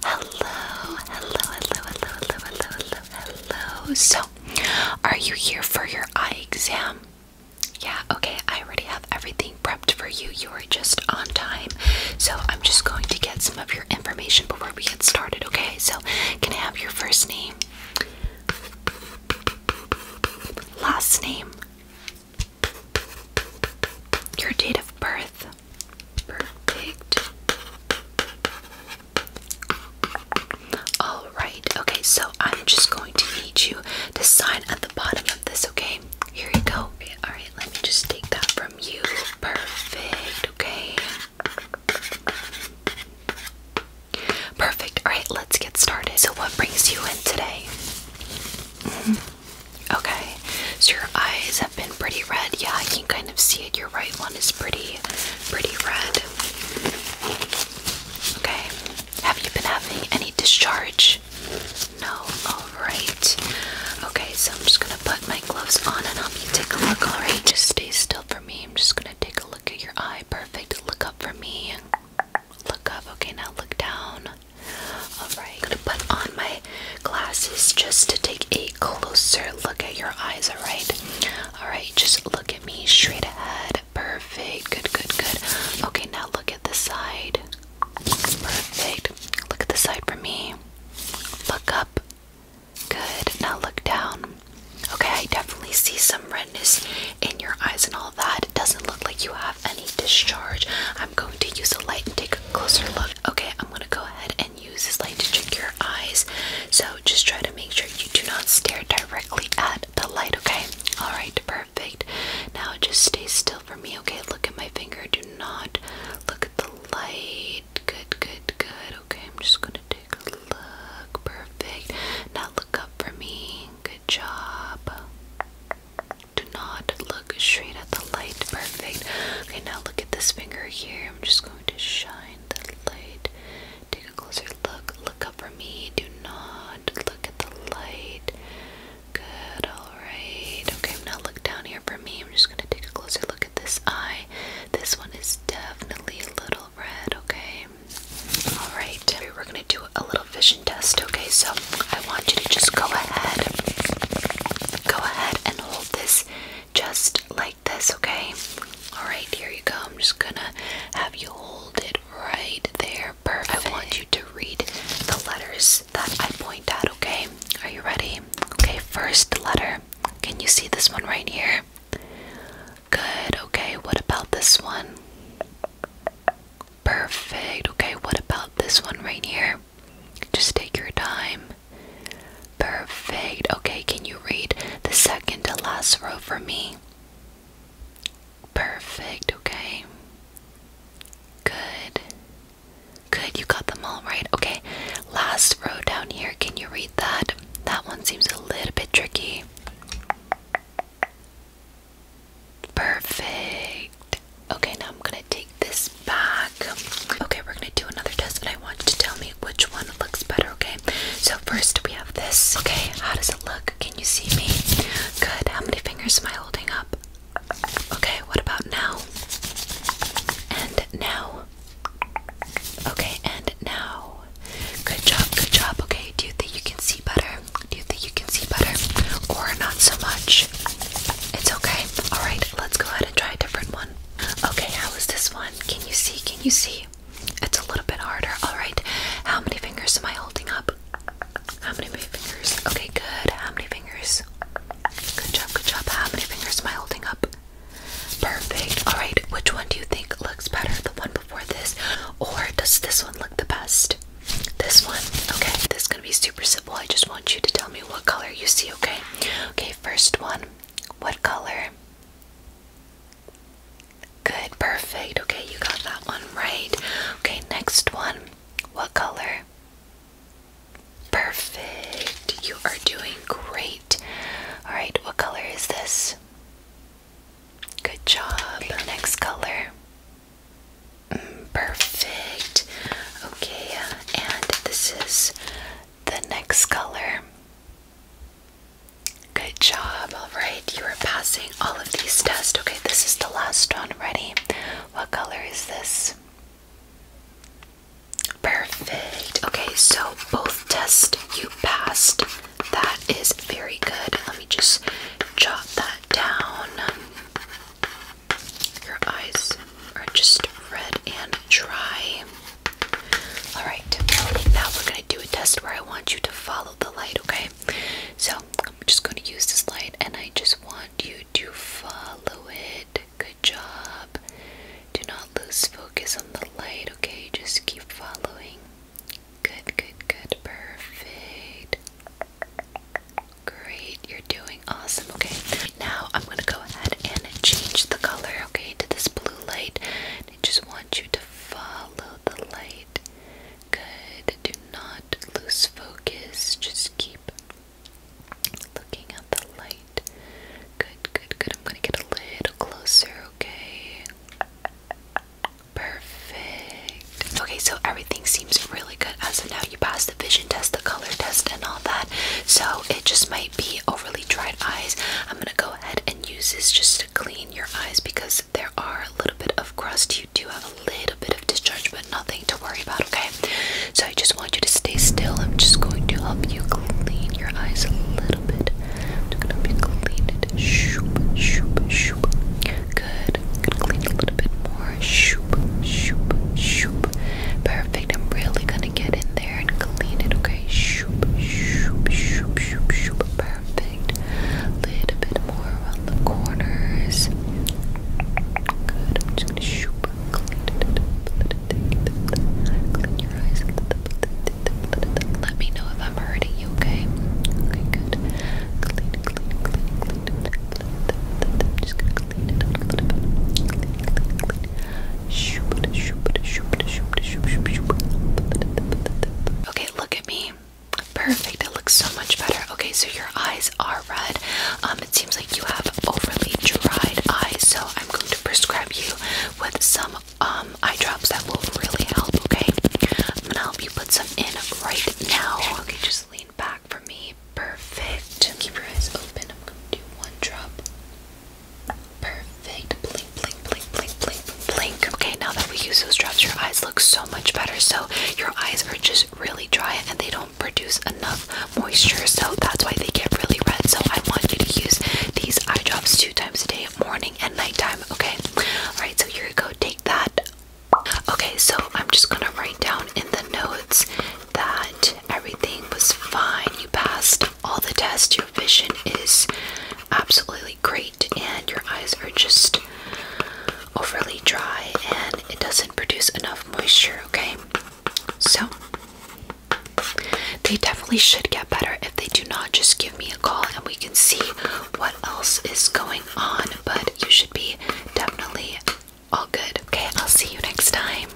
Hello, hello, hello, hello, hello, hello, hello, So, are you here for your eye exam? Yeah, okay, I already have everything prepped for you. You are just on time. So, I'm just going to get some of your information before we get started, okay? So, can I have your first name? Last name? Your date of birth. Perfect. Alright, okay, so I'm just going to need you to sign at the bottom of this, okay? Here you go. Alright, let me just take that from you. Perfect, okay? Perfect. All right, let's get started. So, what brings you in today? Mm-hmm. Okay, so your eyes have been pretty red. Yeah, I can kind of see it. Your right one is pretty, pretty red. Okay, have you been having any discharge? No. All right. Okay, so I'm just gonna put my gloves on and I'll be taking a look. All right, just stay still for me. I'm just gonna take a look at your eye. Perfect. Look up for me. Look up. Okay, now look down. Alright, gonna put on my glasses just to take a closer look at your eyes, alright? Alright, just look at me straight ahead. Perfect. Good, good, good. Okay, now look at the side. Perfect. Look at the side for me. Look up. Good. Now look down. Okay, I definitely see some redness in your eyes and all that. It doesn't look like you have any discharge. I'm going to use a light and take a closer look. Okay, I'm going to go ahead and use this light to check your eyes. So just try to make sure you do not stare directly at the light, okay? Alright, perfect. Now just stay still for me, okay? Look at my finger. Do not look at the light. Good, good, good. Okay, I'm just going to do look. Perfect. Now look up for me. Good job. Do not look straight at the light. Perfect. Okay, now look at this finger here. I'm just going to shine the light. Take a closer look. Look up for me. Do not look at the light. Good. Alright. Okay, now look down here for me. I'm just going to take a closer look at this eye. This one is definitely a little red, okay? All right, we're gonna do a little vision test. Okay, so I want you to just go ahead, go ahead and hold this just like this. Okay. All right, here you go. I'm just gonna have you hold it right there. Perfect. I want you to read the letters that I point out. Okay. Are you ready? Okay. First letter. Can you see this one right here? Good, okay, what about this one? Perfect, okay, what about this one right here? Just take your time. Perfect, okay, can you read the second to last row for me? Perfect, okay. Good. Good, you got them all right. Okay, last row down here. Can you read that? That one seems a little bit tricky. Perfect. Okay, now I'm gonna take this back. Okay, we're gonna do another test, and I want you to tell me which one looks better, okay? So, first we have this. Okay, how does it look? Can you see me? Good. How many fingers am I holding up? Okay, what about now? And now? Okay, and now. Good job, good job. Okay, do you think you can see better? Do you think you can see better? Or not so much? It's okay. Alright, let's go ahead and try a different one. Okay, how is this one? Can you see? Can you see? It's a little bit harder. Alright, how many fingers am I holding up? How many fingers? Okay, good. How many fingers? Good job, good job. How many fingers am I holding up? Perfect. Alright, which one do you think looks better? The one before this? Or does this one look the best? This one? Okay, this is gonna be super simple. I just want you to tell me what color you see, okay? Okay, first one. What color? Good, perfect. Okay, you got that one right. Okay, next one. What color? Perfect. You are doing great. Alright, what color is this? Good job. Next color. Mm, perfect. Okay, uh, and this is the next color. Good job. Alright, you are passing all of these tests. Okay, this is the last one. Ready? What color is this? Perfect. Okay, so both tests you passed. That is very good. Let me just jot that down. Your eyes are just red and dry. Alright, now we're going to do a test where I want you to follow the light, okay? So I'm just going to use this light and I just want you to follow it Good job. Do not lose focus on the light, okay? Just keep following. Good, good, good. Perfect. Great. You're doing awesome, okay? Now I'm going to go ahead and change the color, okay, to this blue light. I just want you to follow the light. Good. Do not lose focus. Just keep looking at the light. Good, good, good. I'm gonna get a little closer, okay? Perfect. Okay, so everything seems really good as of now. You passed the vision test, the color test, and all that. So it just might be overly dried eyes. I'm gonna go ahead and use this just to clean your eyes because there are a little bit of crust. You do have a little bit of discharge, but nothing to worry about, okay? So just just want you to stay still. I'm just going to help you clean your eyes a little bit. i gonna help you Shoop, shoop, shoop. Good. I'm gonna clean a little bit more. Shoop, shoop, shoop. Perfect. I'm really gonna get in there and clean it. Okay. Shoop, shoop, shoop, shoop, shoop. Perfect. A little bit more around the corners. Good. I'm just gonna shoop. Clean your eyes. Let me know if I'm hurting you, okay? Okay, good. Clean, clean, clean, clean. I'm just gonna clean it up a little bit. Clean, clean, clean. Shoop, shoop, shoop, shoop, shoop, shoop. Okay, look at me. Perfect. It looks so much better. Okay, so your eyes are red. Um, it seems like you have overly dried eyes, so I'm going to prescribe you with some um, eye drops that will really help. Okay, I'm gonna help you put some in right now. Okay, just lean back for me. Perfect. Keep your eyes open. I'm gonna do one drop. Perfect. Blink, blink, blink, blink, blink, blink. Okay, now that we use those drops, your eyes look so much better. So your eyes are just really dry and they don't produce enough moisture, so that's why they get really red. So I want you to use these eye drops two times a day, morning and nighttime. Okay. All right. So here you go. Take that. Okay. So I'm just gonna write down in the notes that everything was fine. You passed all the tests. Your vision is absolutely great, and your eyes are just overly dry, and it doesn't produce enough moisture. Okay. So, they definitely should get better. If they do not, just give me a call and we can see what else is going on. But you should be definitely all good. Okay, I'll see you next time.